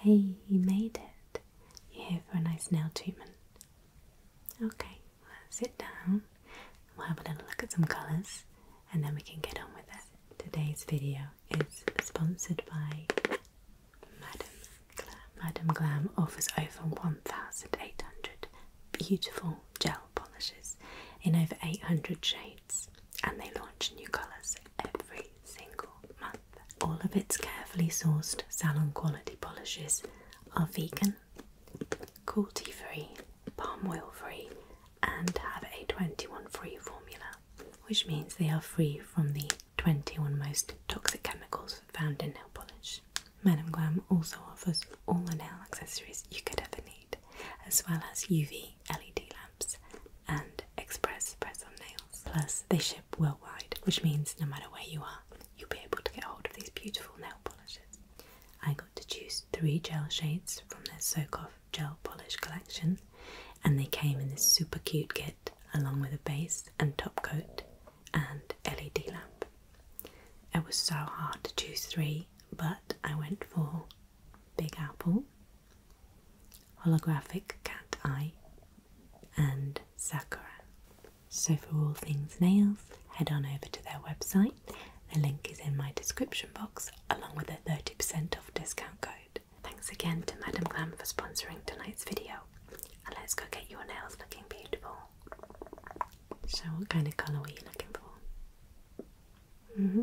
Hey, you made it. You're here for a nice nail treatment. Okay, sit down. We'll have a little look at some colours and then we can get on with it. Today's video is sponsored by Madame Glam. Madame Glam offers over 1,800 beautiful gel polishes in over 800 shades and they launch new colours every single month. All of its carefully sourced salon quality polishes are vegan, cruelty free, palm oil free, and have a 21 free formula, which means they are free from the 21 most toxic chemicals found in nail polish. Madame Glam also offers all the nail accessories you could ever need, as well as UV LED lamps and Express press on nails. Plus, they ship worldwide, which means no matter where you are, you'll be able to get hold of these beautiful nail polishes. I got to choose three gel shades from their Soak Off gel polish collection, and they came in this super cute kit along with a base and top coat and LED lamp. It was so hard to choose three, but I went for Big Apple, holographic cat eye, and Sakura. So, for all things nails, head on over to their website. The link is in my description box along with a 30% off discount code. Thanks again to Madam Glam for sponsoring tonight's video. And let's go get your nails looking beautiful. So, what kind of colour were you looking for? Mm-hmm.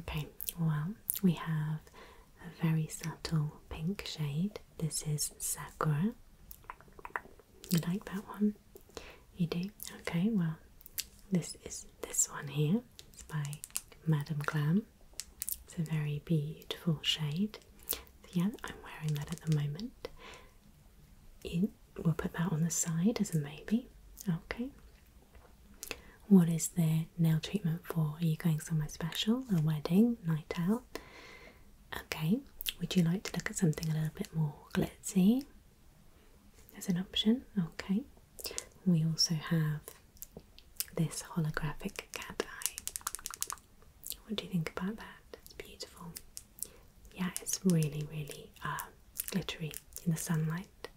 Okay, well, we have a very subtle pink shade. This is Sakura. You like that one? You do? Okay, well, this is this one here. It's by Madame Glam. It's a very beautiful shade. yeah, I'm wearing that at the moment. we'll put that on the side as a maybe. Okay. What is the nail treatment for? Are you going somewhere special? A wedding? Night out? Okay, would you like to look at something a little bit more glitzy? As an option? Okay. We also have this holographic cat eye. What do you think about that? It's beautiful. Yeah, it's really, really uh, glittery in the sunlight.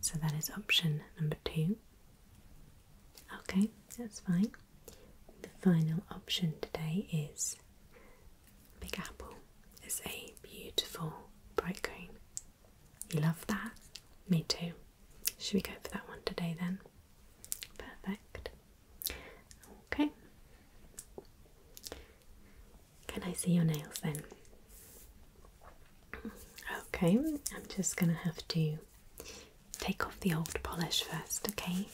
So that is option number two. Okay, that's fine. The final option today is Big Apple. It's a beautiful bright green. You love that? Me too. Should we go for that one today then? Perfect. Okay. Can I see your nails then? Okay, I'm just gonna have to take off the old polish first, okay?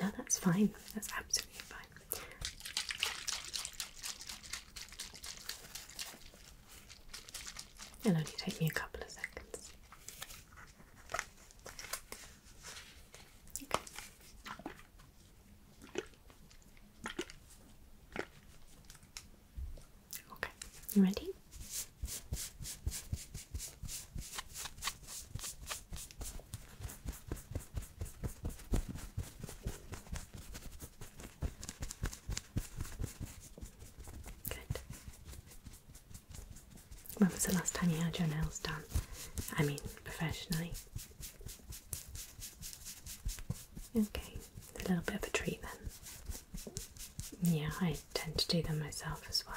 No, that's fine, that's absolutely fine. It'll only take me a couple of seconds. Okay. Okay, you ready? Good. When was the last time you had your nails done? I mean, professionally. Okay, a little bit of a treat then. Yeah, I tend to do them myself as well.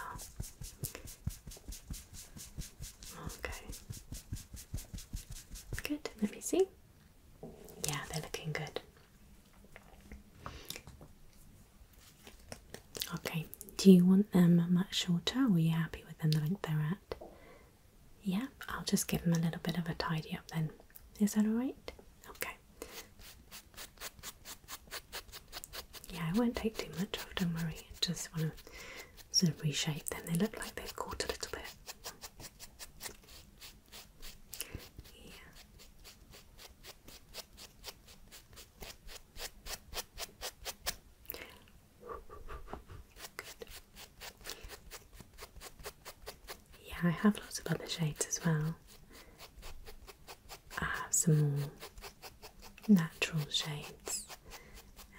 Okay. Good, let me see. Yeah, they're looking good. Okay, do you want them much shorter are you happy with them the length they're at? Yeah, I'll just give them a little bit of a tidy up then. Is that alright? Okay. Yeah, I won't take too much off, don't worry. I just want to sort of reshape them. They look like they've caught a little bit. Yeah. Yeah, I have lots of other shades as well. I have some more natural shades,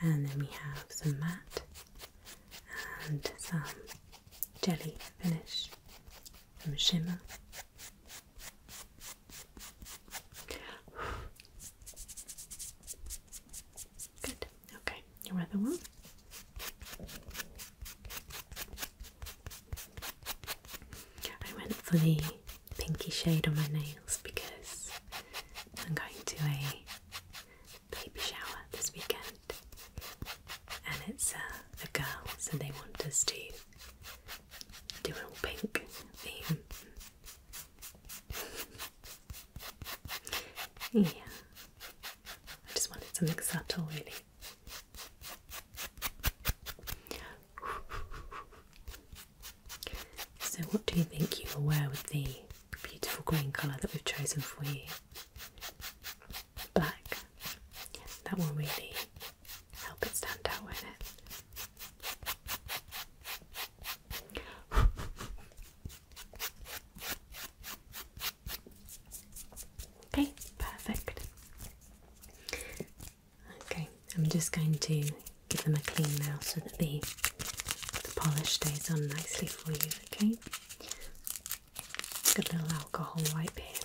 and then we have some matte and some jelly finish, some shimmer. Good. Okay, your other one. I went for the pinky shade on my nails because I'm going to a baby shower this weekend and it's a, uh, a girl, so they want us to do an all pink theme. Yeah. I just wanted something subtle, really. So, what do you think you will wear with the beautiful green colour that we've chosen for you? Black. That will really help it stand out, won't it? Okay, perfect. Okay, I'm just going to give them a clean now so that the, the polish stays on nicely for you, okay? a little alcohol wipe here.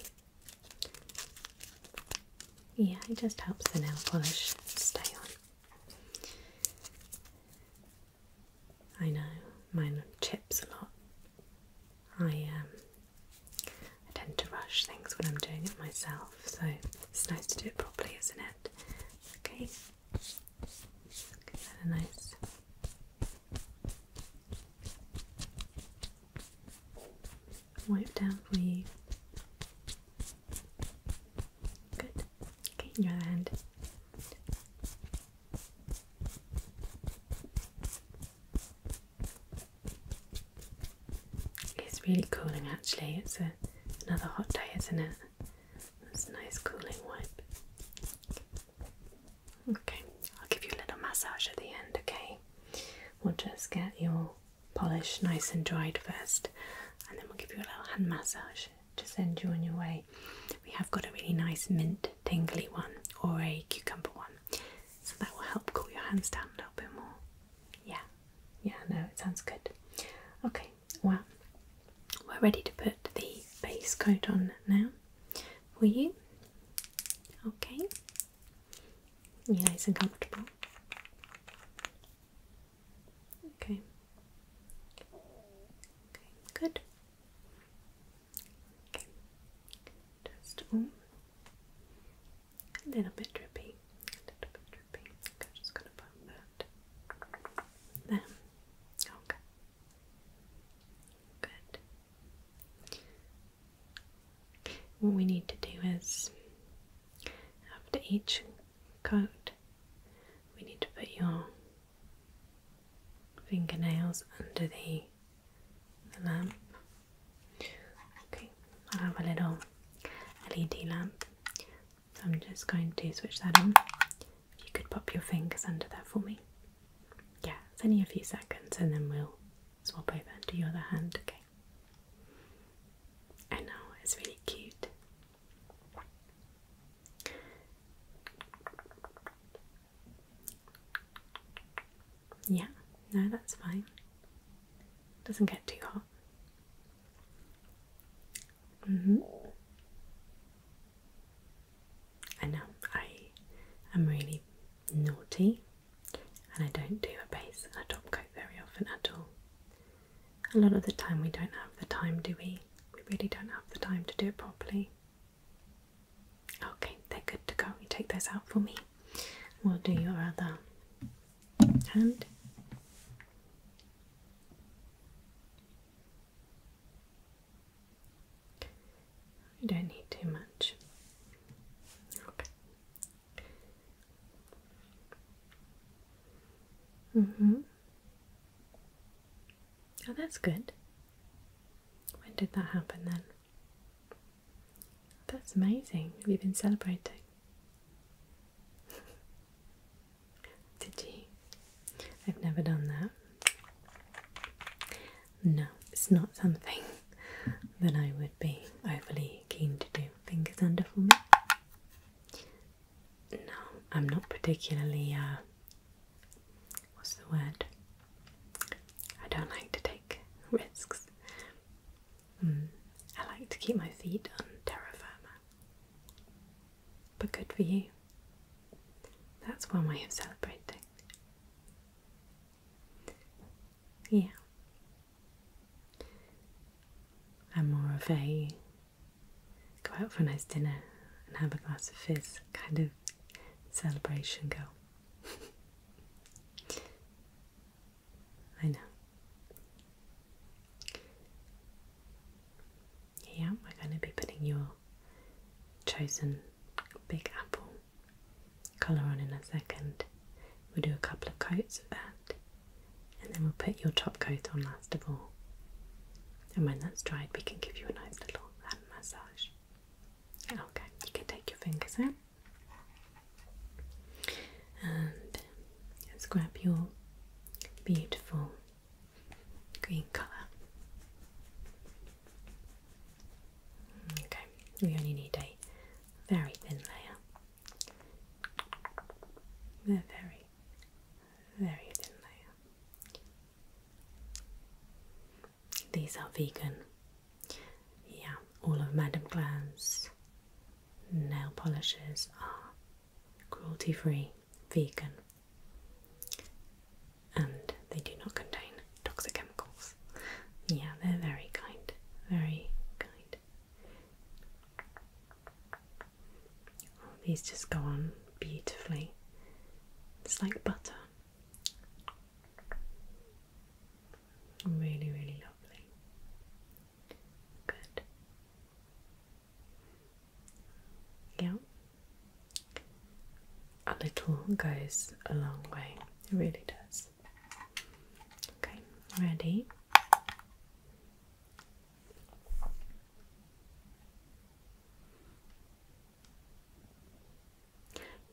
Yeah, it just helps the nail polish stay on. I know mine chips a lot. Um, I tend to rush things when I'm doing it myself, so it's nice to do it properly, isn't it? Okay, a nice. Wipe down for you. Good. Okay, in your other hand. It's really cooling actually, it's a, another hot day, isn't it? That's a nice cooling wipe. Okay, I'll give you a little massage at the end, okay? We'll just get your polish nice and dried first, and then we'll give you a little hand massage to send you on your way. We have got a really nice mint tingly one or a cucumber one, so that will help cool your hands down a little bit more. Yeah, yeah, no, it sounds good. Okay, well, we're ready to put the base coat on now for you. Okay, nice and comfortable. Okay, Okay, good. Okay. Just a little bit drippy. A little bit drippy. Okay, just gonna pop that there. Okay. Good. What we need to do is after each coat we need to put your fingernails under the, lamp. Okay, I have a little LED lamp, so I'm just going to switch that on. If you could pop your fingers under that for me. Yeah, it's only a few seconds and then we'll swap over to your other hand, okay? I know, it's really cute. Yeah, no, that's fine. Doesn't get too hot. Mm-hmm. I know I am really naughty and I don't do a base and a top coat very often at all a lot of the time we don't have the time, do we? We really don't have the time to do it properly. Okay, they're good to go. You take those out for me. We'll do your other hand. You don't need too much. Okay. Mm-hmm. Oh, that's good. When did that happen then? That's amazing. Have you been celebrating? did you? I've never done that. No, it's not something that I would be overly keen to do. Fingers under for me. No, I'm not particularly, uh, what's the word? I don't like to take risks. Mm, I like to keep my feet on terra firma. But good for you. That's one way of celebrating. Yeah. I'm more of a go out for a nice dinner and have a glass of fizz kind of celebration go. I know. Yeah, we're going to be putting your chosen big apple colour on in a second. We'll do a couple of coats of that and then we'll put your top coat on last of all. And when that's dried, we can give you a nice little hand massage. Okay, you can take your fingers out and let's grab your beautiful green colour. Okay, we only need a very thin layer. very very thin layer. These are vegan. Yeah, all of Madame Glan's nail polishes are cruelty free, vegan, and they do not contain toxic chemicals. Yeah, they're very kind, very kind. Oh, these just go on beautifully. It's like butter. Really, really lovely. Good. Yeah. A little goes a long way. It really does. Okay, ready?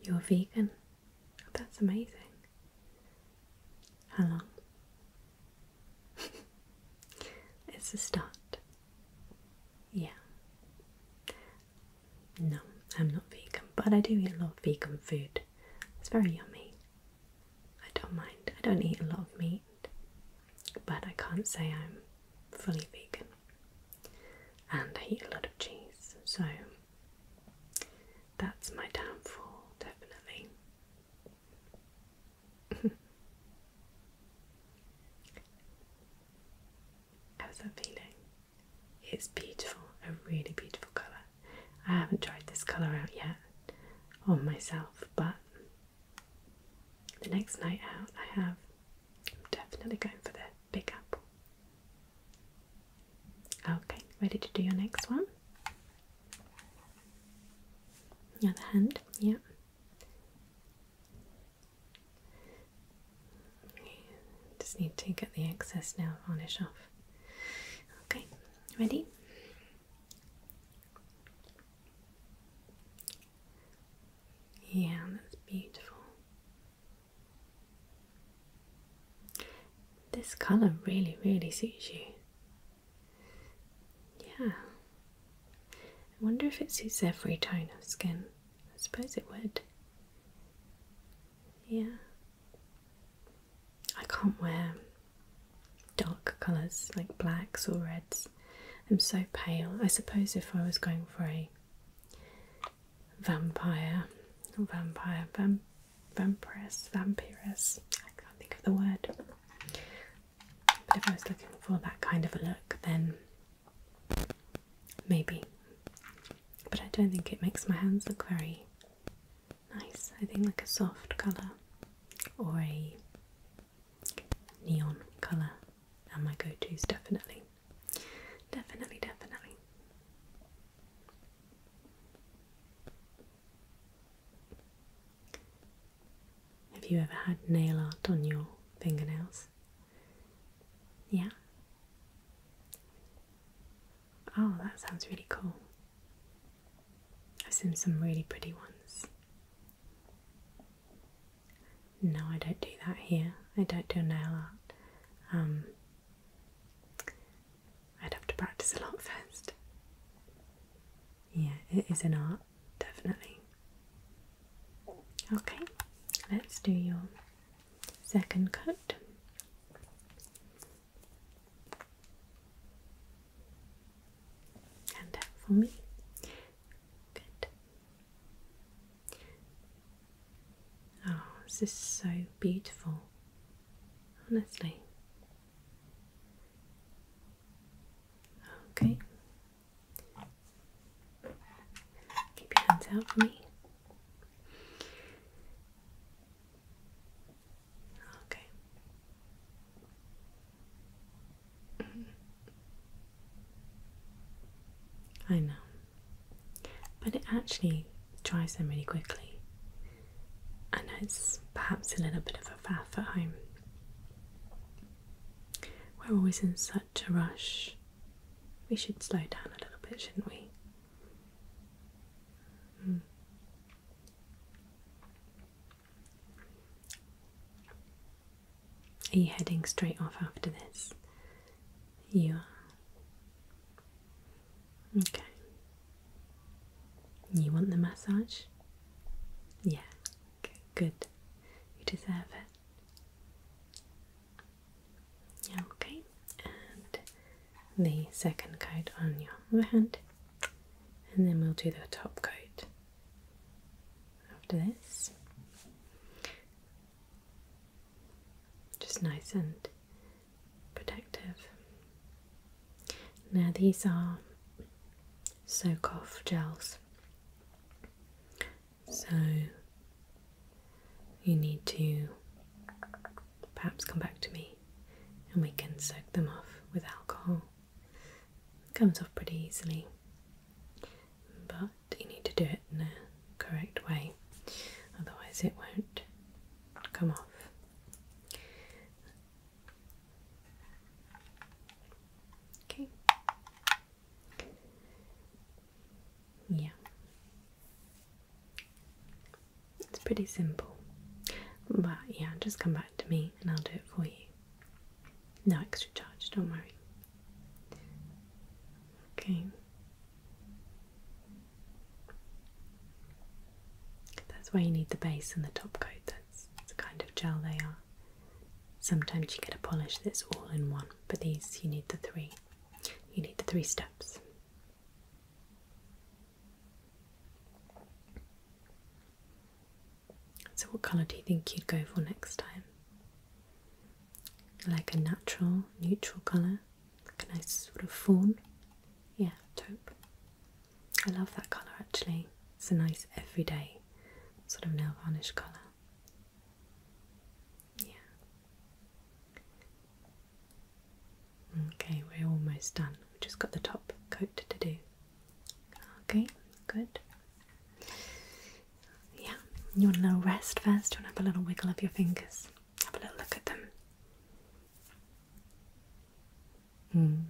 You're vegan? That's amazing. How long? it's a start. Yeah. No, I'm not vegan, but I do eat a lot of vegan food. It's very yummy. I don't mind. I don't eat a lot of meat, but I can't say I'm fully vegan. And I eat a lot of cheese, so that's my downfall, definitely. How's that feeling? It's beautiful, a really beautiful colour. I haven't tried this colour out yet on myself, but the next night out, I have. I'm definitely going for the big apple. Okay, ready to do your next one? The other hand, yeah. Just need to get the excess nail varnish off. Okay, ready? Yeah, that's beautiful. This colour really, really suits you. Yeah. I wonder if it suits every tone of skin. I suppose it would. Yeah. I can't wear dark colours like blacks or reds. I'm so pale. I suppose if I was going for a vampire, vampire, vamp, vampiress, vampiress, I can't think of the word. But if I was looking for that kind of a look, then maybe. But I don't think it makes my hands look very Nice, I think like a soft colour or a neon colour are my go to's, definitely. Definitely, definitely. Have you ever had nail art on your fingernails? Yeah? Oh, that sounds really cool. I've seen some really pretty ones. No, I don't do that here. I don't do nail art. Um, I'd have to practice a lot first. Yeah, it is an art, definitely. Okay, let's do your second coat. And that for me. Good. Oh, this is so beautiful. Honestly. Okay. Keep your hands out for me. Okay. Mm-hmm. I know. But it actually dries them really quickly. And it's perhaps a little bit of a faff at home. We're always in such a rush. We should slow down a little bit, shouldn't we? Hmm. Are you heading straight off after this? You are. Okay. You want the massage? Yeah. Okay, good. You deserve it. Okay, the second coat on your other hand, and then we'll do the top coat after this. Just nice and protective. Now, these are soak off gels, so you need to perhaps come back to me and we can soak them off with alcohol. It comes off pretty easily, but you need to do it in a correct way, otherwise, it won't come off. Okay. Yeah. It's pretty simple. But yeah, just come back to me and I'll do it for you. No extra charge, don't worry. Okay. That's why you need the base and the top coat. That's the kind of gel they are. Sometimes you get a polish that's all in one, but these you need the three. You need the three steps. So, what colour do you think you'd go for next time? Like a natural, neutral colour, like a nice sort of fawn. Yeah, taupe. I love that colour actually. It's a nice everyday sort of nail varnish colour. Yeah. Okay, we're almost done. We've just got the top coat to do. Okay, good. Yeah, you want a little rest first? You want to have a little wiggle of your fingers? Have a little look at them. Mm.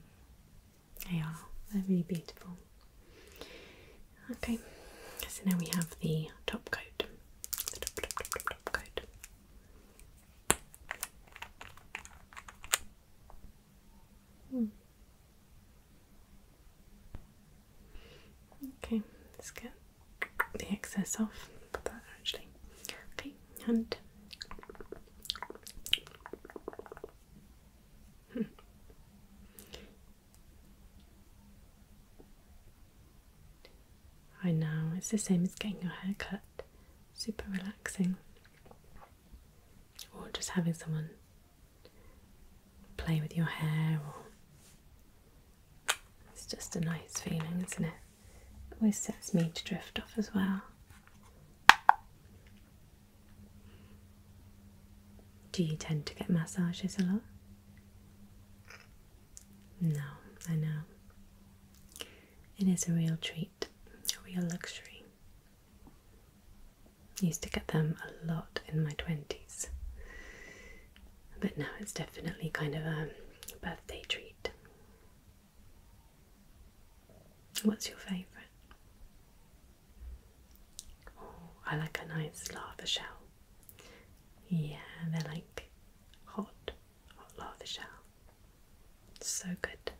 They are, they're really beautiful. Okay, so now we have the top coat. top, top, top coat. Okay, let's get the excess off. Put that actually. Okay, and I know it's the same as getting your hair cut super relaxing. Or just having someone play with your hair, or it's just a nice feeling, isn't It always sets me to drift off as well. Do you tend to get massages a lot? No, I know. It is a real treat, a real luxury. I used to get them a lot in my 20s, but now it's definitely kind of a birthday treat. What's your favourite? Oh, I like a nice lava shell. Yeah, they're like hot Love the shell. so good.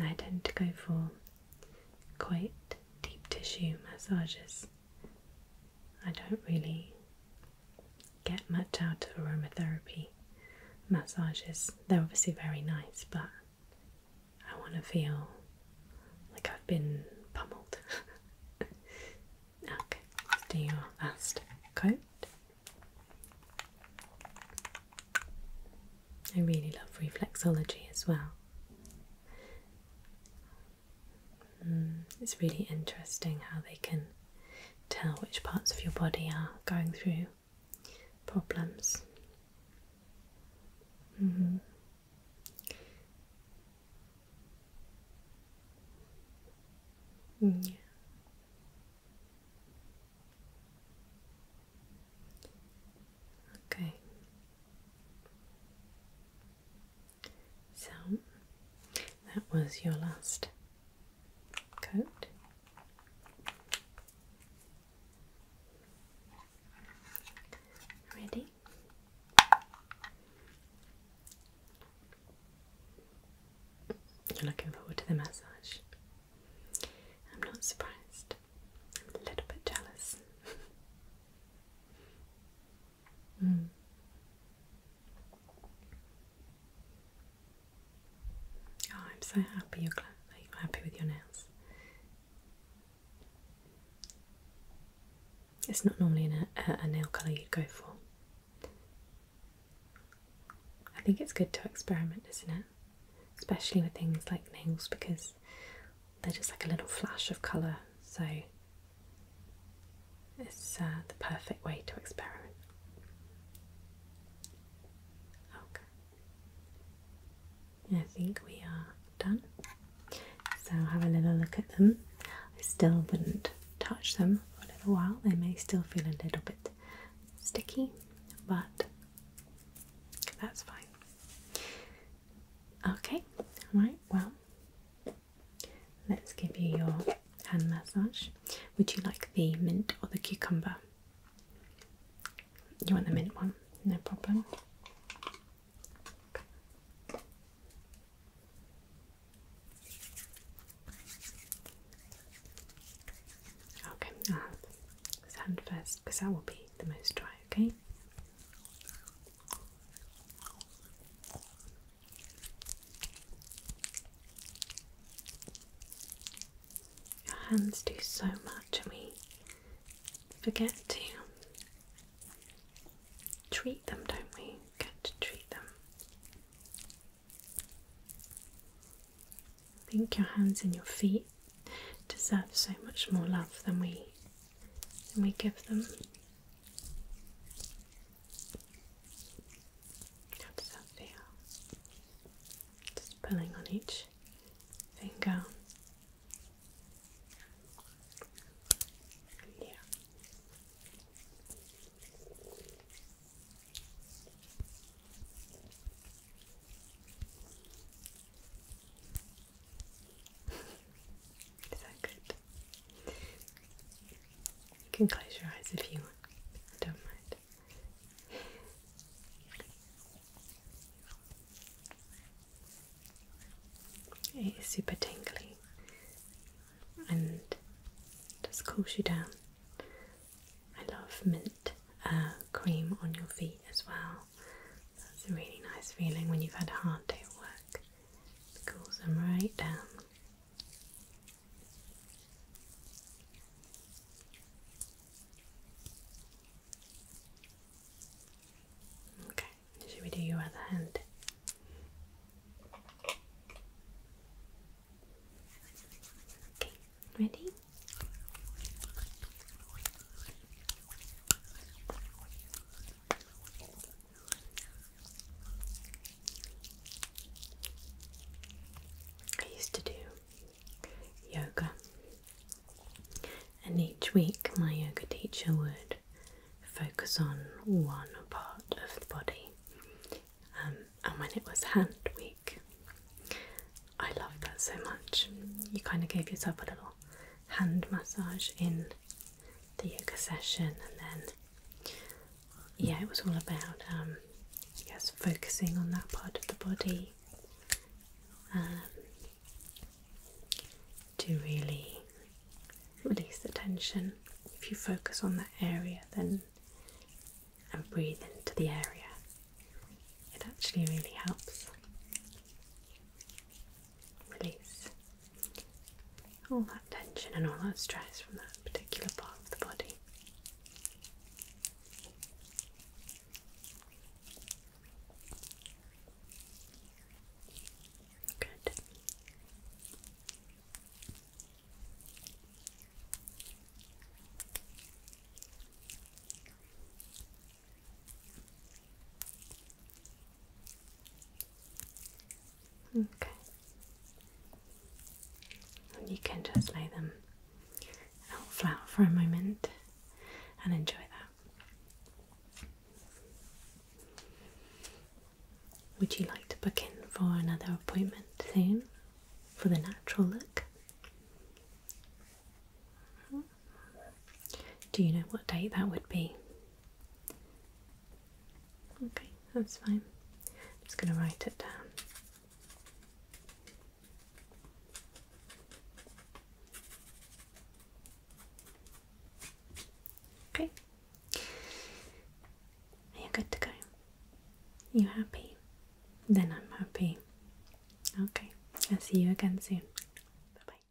I tend to go for quite deep tissue massages. I don't really get much out of aromatherapy massages. They're obviously very nice, but I want to feel like I've been pummeled. okay, do your last coat. I really love reflexology as well. Hmm, it's really interesting how they can tell which parts of your body are going through problems. Mm-hmm. Okay. So that was your last coat. Ready? You're looking forward to the massage. I'm not surprised. I'm a little bit jealous. Hmm. Oh, I'm so happy you're, glad you're happy with your nails. It's not normally a, nail colour you'd go for. I think it's good to experiment, isn't it? Especially with things like nails because they're just like a little flash of colour, so it's uh, the perfect way to experiment. Okay. I think we are done. So have a little look at them. I still wouldn't touch them for a little while. They may still feel a little bit sticky, but that's fine. Okay, right, well, let's give you your hand massage. Would you like the mint or the cucumber? You want the mint one? No problem. Okay, I'll first because that will be the most dry, okay? Your hands do so much and we forget to treat them, don't we? Get to treat them. I think your hands and your feet deserve so much more love than we than we give them. How does that feel? Just pulling on each finger. Is that good? You can close your eyes if you want. don't mind. It is super tingly and just cools you down. I love mint uh, cream on your feet as well. That's a really nice feeling when you've had a hard day at work. It cools them right down. Okay, should we do your other hand? Okay, ready? I used to do yoga. And each week, my yoga teacher would focus on one part of the body. Um, and when it was hand week, I loved that so much. You kind of gave yourself a little hand massage in the yoga session, and then, yeah, it was all about, um, yes, focusing on that part of the body, um, to really release the tension. If you focus on that area, then and breathe into the area, it actually really helps release all that tension and all that stress from that particular part of the body. Okay. you can just lay them out flat for a moment and enjoy that. Would you like to book in for another appointment soon for the natural look? Do you know what date that would be? Okay, that's fine. I'm just going to write it down. Okay. Are good to go? You happy? Then I'm happy. Okay. I'll see you again soon. bye.